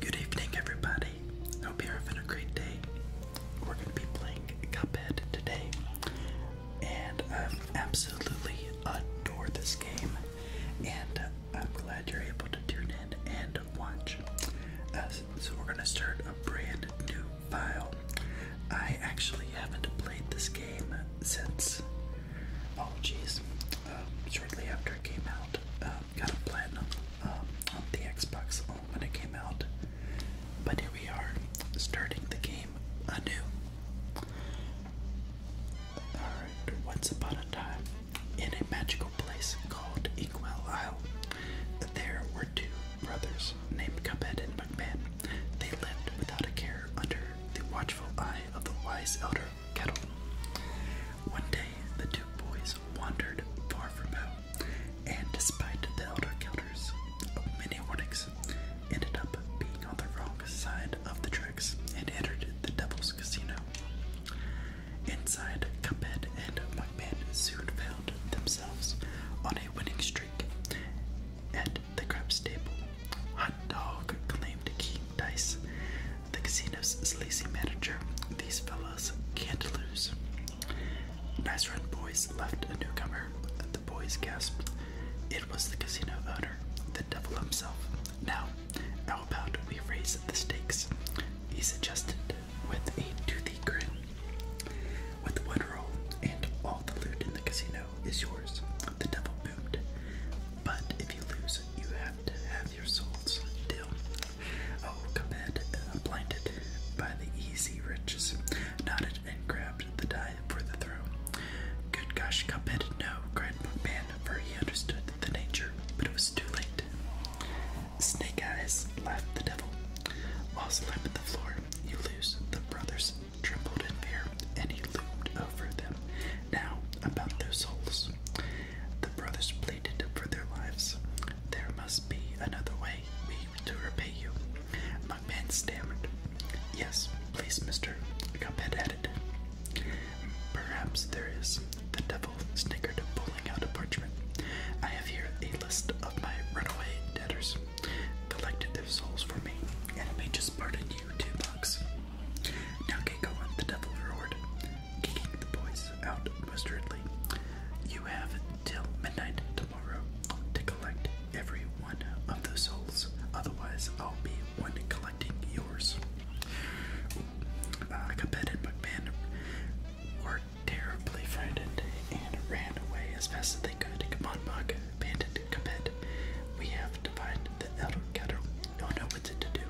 Good evening, everybody. Hope you're having a great day. We're going to be playing Cuphead today, and I absolutely adore this game. And I'm glad you're able to tune in and watch. so we're going to start a brand new file. I actually haven't played this game since. Oh, jeez. Uh, shortly after it came out, um, got a platinum um, the Xbox um, when it came out. But here we are, starting the game anew. Alright, once upon a time, in a magical place called Inkwell there were two brothers named Cuphead and McMahon. They lived without a care under the watchful eye of the wise elder one day the two boys wandered far from home, and despite the elder Kilder's many warnings, ended up being on the wrong side of the tracks and entered the Devil's Casino. Inside, Cuphead and McMahon soon found themselves on a winning streak. At the crab stable, Hot Dog claimed a key dice. The casino's lazy manager. These fellows can't lose. Nice run, boys, left a newcomer. The boys gasped. It was the casino owner, the devil himself. Now, how about we raise the stakes? He suggested with a toothy grin. With one roll, and all the loot in the casino is yours, the devil boomed. But if you lose, you have to have have your souls still. Oh, Comed, uh, blinded by the easy riches, nodded and grabbed the die for the throw. Good gosh, Cuphead, no, cried Man, he understood the nature, but it was too late. Snake Eyes laughed the devil. While slapping the floor, you lose. The brothers trembled in fear, and he loomed over them. Now, about their souls. The brothers pleaded for their lives. There must be another way to repay you. My stammered. Yes, please, mister, Cuphead added. Perhaps there is. The devil snickered, pulling out a parchment. I have here a list of my runaway debtors. Collected their souls for me, and may just pardon you two bucks. Now get going, the devil roared the boys out mustardly. You have till midnight tomorrow to collect every one of those souls, otherwise, I'll be one collecting yours. Uh, and McMahon were terribly frightened and ran away as fast as they could. Come on, Buck, We have to find the elder cattle. You'll know what to do.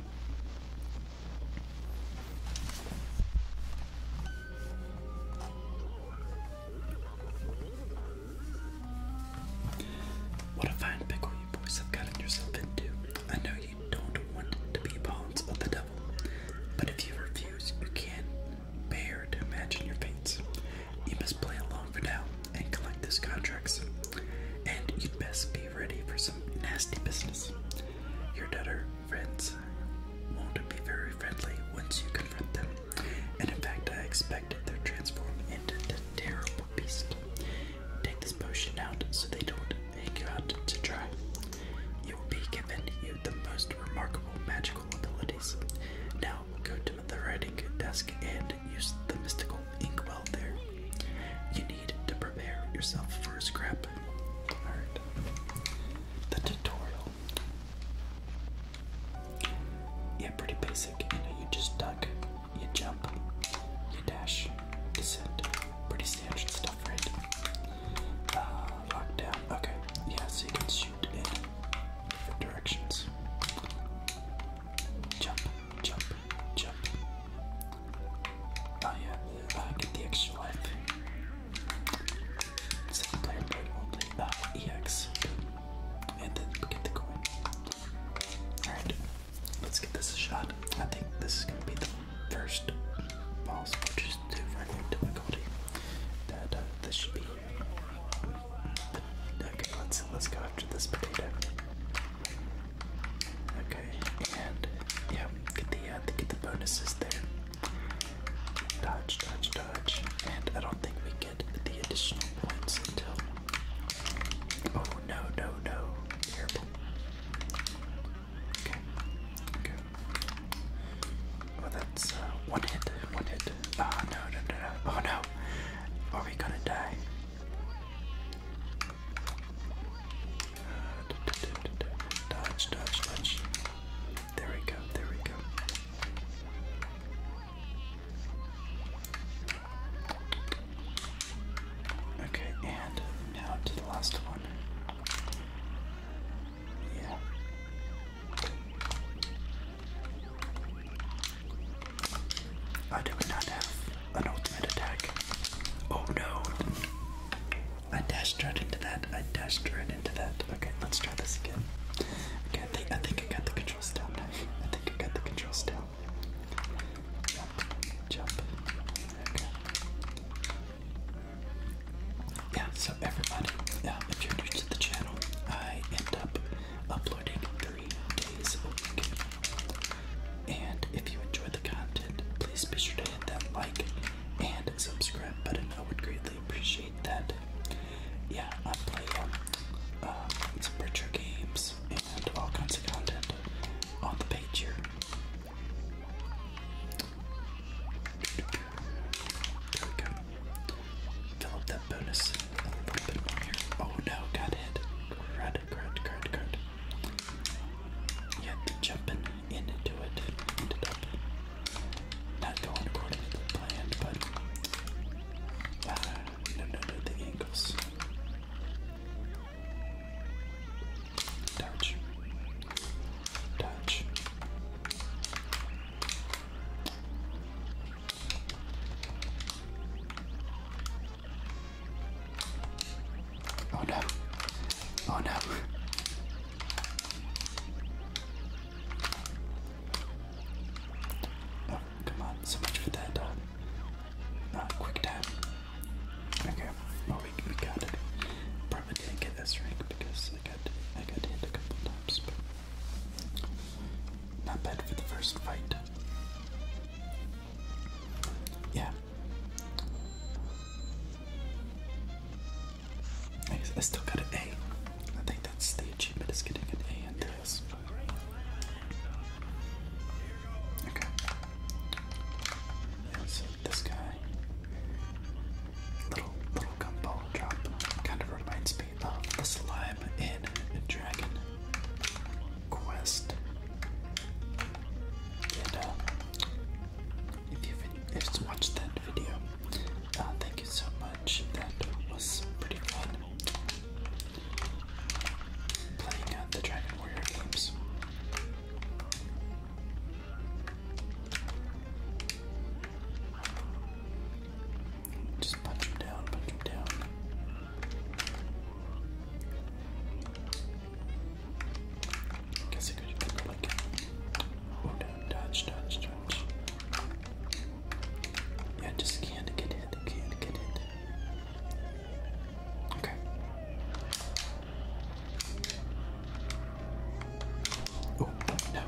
What a fine pickle you boys have gotten yourself into. I know you don't want to be pawns of the devil, but if you refuse, you can bear to imagine your fates. You must play along for now and collect this contracts. And you best be ready for some nasty business. Your debtor friends won't be very friendly once you confront them, and in fact, I expect they are transformed into the terrible beast. Take this potion out so they don't take you out to try. You will be given you the most remarkable magical abilities. Now go to the writing desk and use the mystical inkwell there. You need to prepare yourself for a scrap. Alright. The tutorial. Yeah, pretty basic. You know, you just duck, you jump, you dash, descend. Pretty standard stuff, right? Uh, lockdown. Okay. Yeah, so you can shoot in different directions. Jump, jump, jump. Oh yeah, get the extra life. Single player mode only. EX. And then get the coin. Alright, let's give this a shot. I think this is gonna be the first boss, which is the regular difficulty. That uh, this should be. Okay, let's go after this potato. Okay, and yeah, get the uh, get the bonuses there. Dodge, dodge, dodge, and I don't think we get the additional points until. Oh no, no, no! Okay, okay. Well, oh, that's uh, one hit, one hit. Oh no, no, no, no! Oh no! Are we gonna die? Dodge, dodge, dodge. There we go, there we go. Okay, and now to the last one. Yeah. I do not have an ultimate attack. Oh no. I dashed right into that. I dashed right into that. Okay, let's try this again. I think I think I got the controls down. I think I got the controls down. Jump, jump. Yeah, so everybody, yeah, if to the channel, I end up uploading three days and if you enjoy the content, please be sure to hit that like and subscribe button. I would greatly appreciate that. Yeah, I play um, uh, some retro games and all kinds of content on the page here. There we go. Fill up that bonus Oh no, got hit. Card, card, card, card. Yet jumping into it ended up not going according to the plan, but uh, no, no, no, the angles. Touch, touch. Oh no. Oh no. Oh, come on. So much for that uh, time. quick time. Okay. Well, we, we got it. Probably didn't get this rank because I got, I got hit a couple times, but not bad for the first fight. Yeah, I, still got an A. I think that's the achievement it's getting an A in this. Okay. Yeah, so this guy. Little little gumball drop kind of reminds me of the slime in Dragon quest. Uh, if you've watched that video, uh, thank you so much. That was pretty fun playing uh, the Dragon Warrior games. Just punch him down, punch him down. Guess I could go like Oh no, dodge, dodge, dodge. Yeah, just can't get it. can't get hit. Okay. Oh no.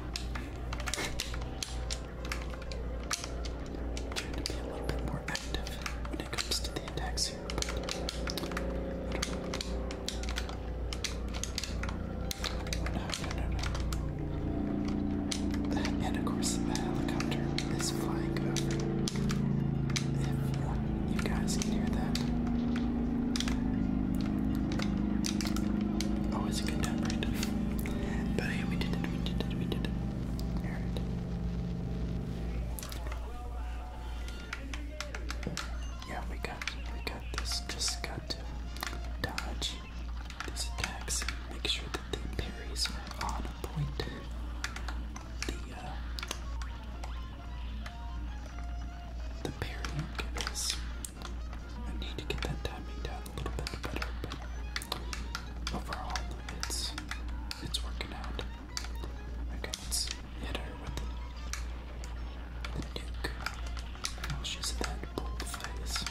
Trying to be a little bit more active when it comes to the attacks here. And of course, the helicopter is flying over. If you guys can hear that, always oh, a good But hey, we did it, we did it, we did it. Yeah, we got we got this. Just got to dodge these make sure that the parries on point. The uh the parrying is I need to get that timing down a little bit better, but overall it's it's working out. Okay, let the, the nuke. Oh, she's dead. Bullet face.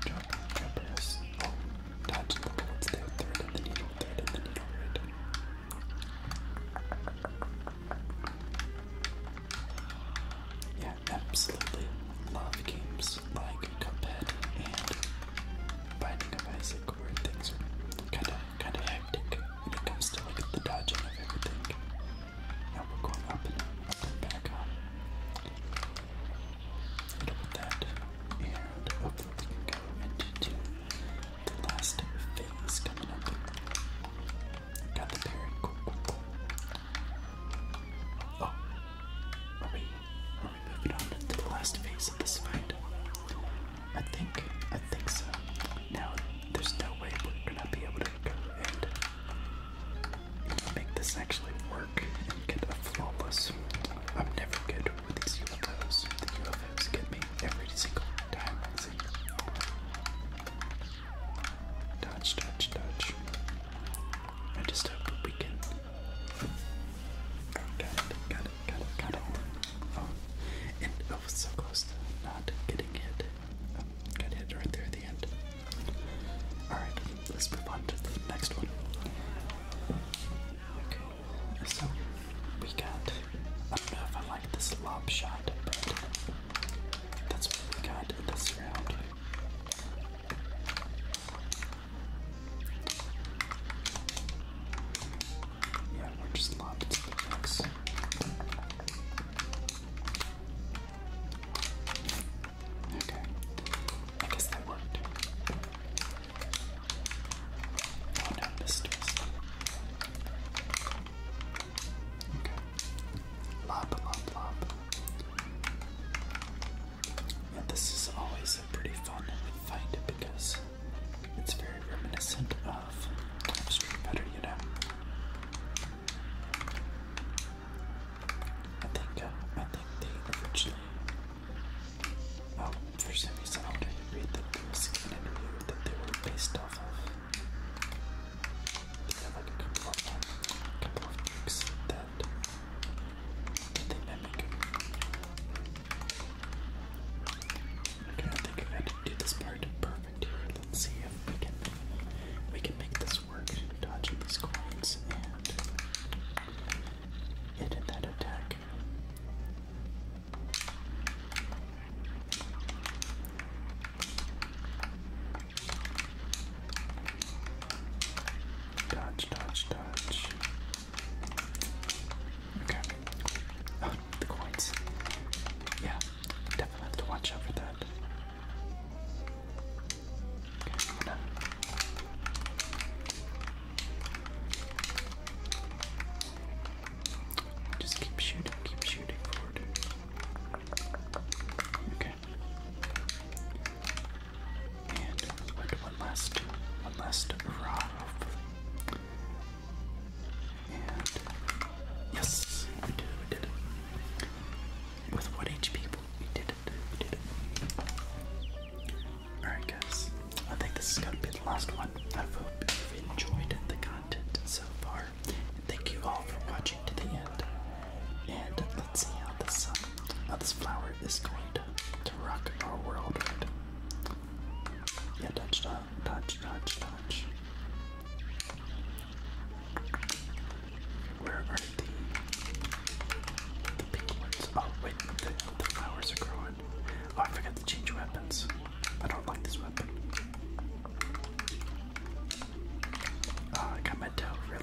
Drop, drop Oh, dodge the bullets. They're third the needle, third of the needle, right? Yeah, absolutely love games games like Cuphead and Binding of Isaac where things are kind of kind of hectic when it comes to like the dodging of everything. Now we're going up and up and back on. And with that, and hopefully we can go into the last phase coming up. I got the parent. Cool, cool, cool. Oh, are we, moving on to the last phase of this fight? I think, I think so. Now, there's no way we're gonna be able to go and make this actually work and get a flawless. I'm never good with these UFOs. The UFOs get me every single time. Touch, touch, touch. I just hope we can got it, got it, got it, got it. Oh, and I oh, was so close to not getting hit. Um, got hit right there at the end. Alright, let's move on to the next one. Okay, so we got. I don't know if I like this lob shot, but that's what we got this round. Yeah, we're just lopped Okay. I guess that worked. Oh no, this twist. Okay. Lop, lop, lop this is always a pretty fun find because it's very reminiscent of Street Fighter, you know. I think uh, I think they originally. Oh, for some reason, I did read that there interview that they were based off of. They have like a couple of, um, that I think think I had to do this part perfect Let's see if we can we can make this work. Dodging these coins and hitting that attack. Dodge, dodge, dodge. Okay. Oh, the coins. Yeah, definitely have to watch out for that. Just keep shooting, keep shooting forward. Okay. And one last, one last rod, And yes, we did it, we did it. With what HP people, we did it, Alright guys, I think this is gonna be the last one. I hope you've enjoyed the content so far. Thank you all for watching to the end. And let's see how this summer now this flower is going to, to rock our world, right? Yeah, touch, touch, touch, touch, touch. Where are the, the pink ones? Oh, wait, the, flowers are growing. Oh, I forgot to change weapons. I don't like this weapon. Oh, I got my tail, really.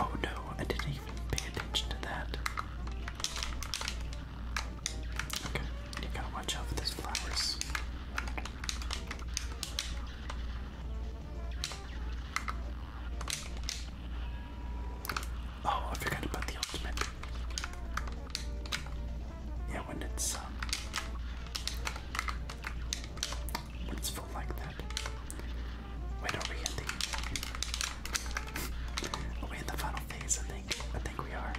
Oh no, I didn't even pay attention to that. you gotta watch out for those flowers. Oh, I forgot about the ultimate. Yeah, when it's um, Let's like that. Wait, are we in the Are in the final phase? I think. I think we are.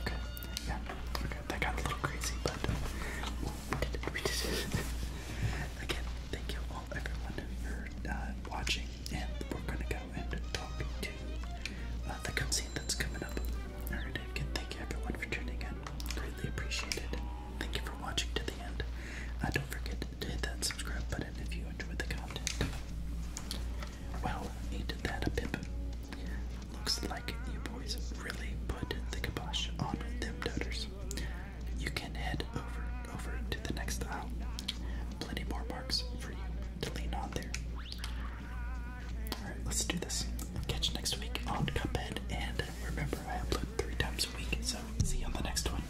Okay. Yeah. Okay. That got a little crazy, but we did it. Again, thank you all everyone for uh, watching and we're gonna go and talk to uh, the cutscene that's coming up. Alright, again, thank you everyone for tuning in. Greatly appreciated. Thank you for watching to the end. Uh, don't forget to hit that subscribe button if you enjoyed the content. Well, ain't that a pimp? Looks like you boys really put the kibosh on them doters. You can head over over to the next aisle. Plenty more marks for you to lean on there. Alright, let's do this. Catch you next week on Cuphead and Remember, I upload three times a week, so see you on the next one.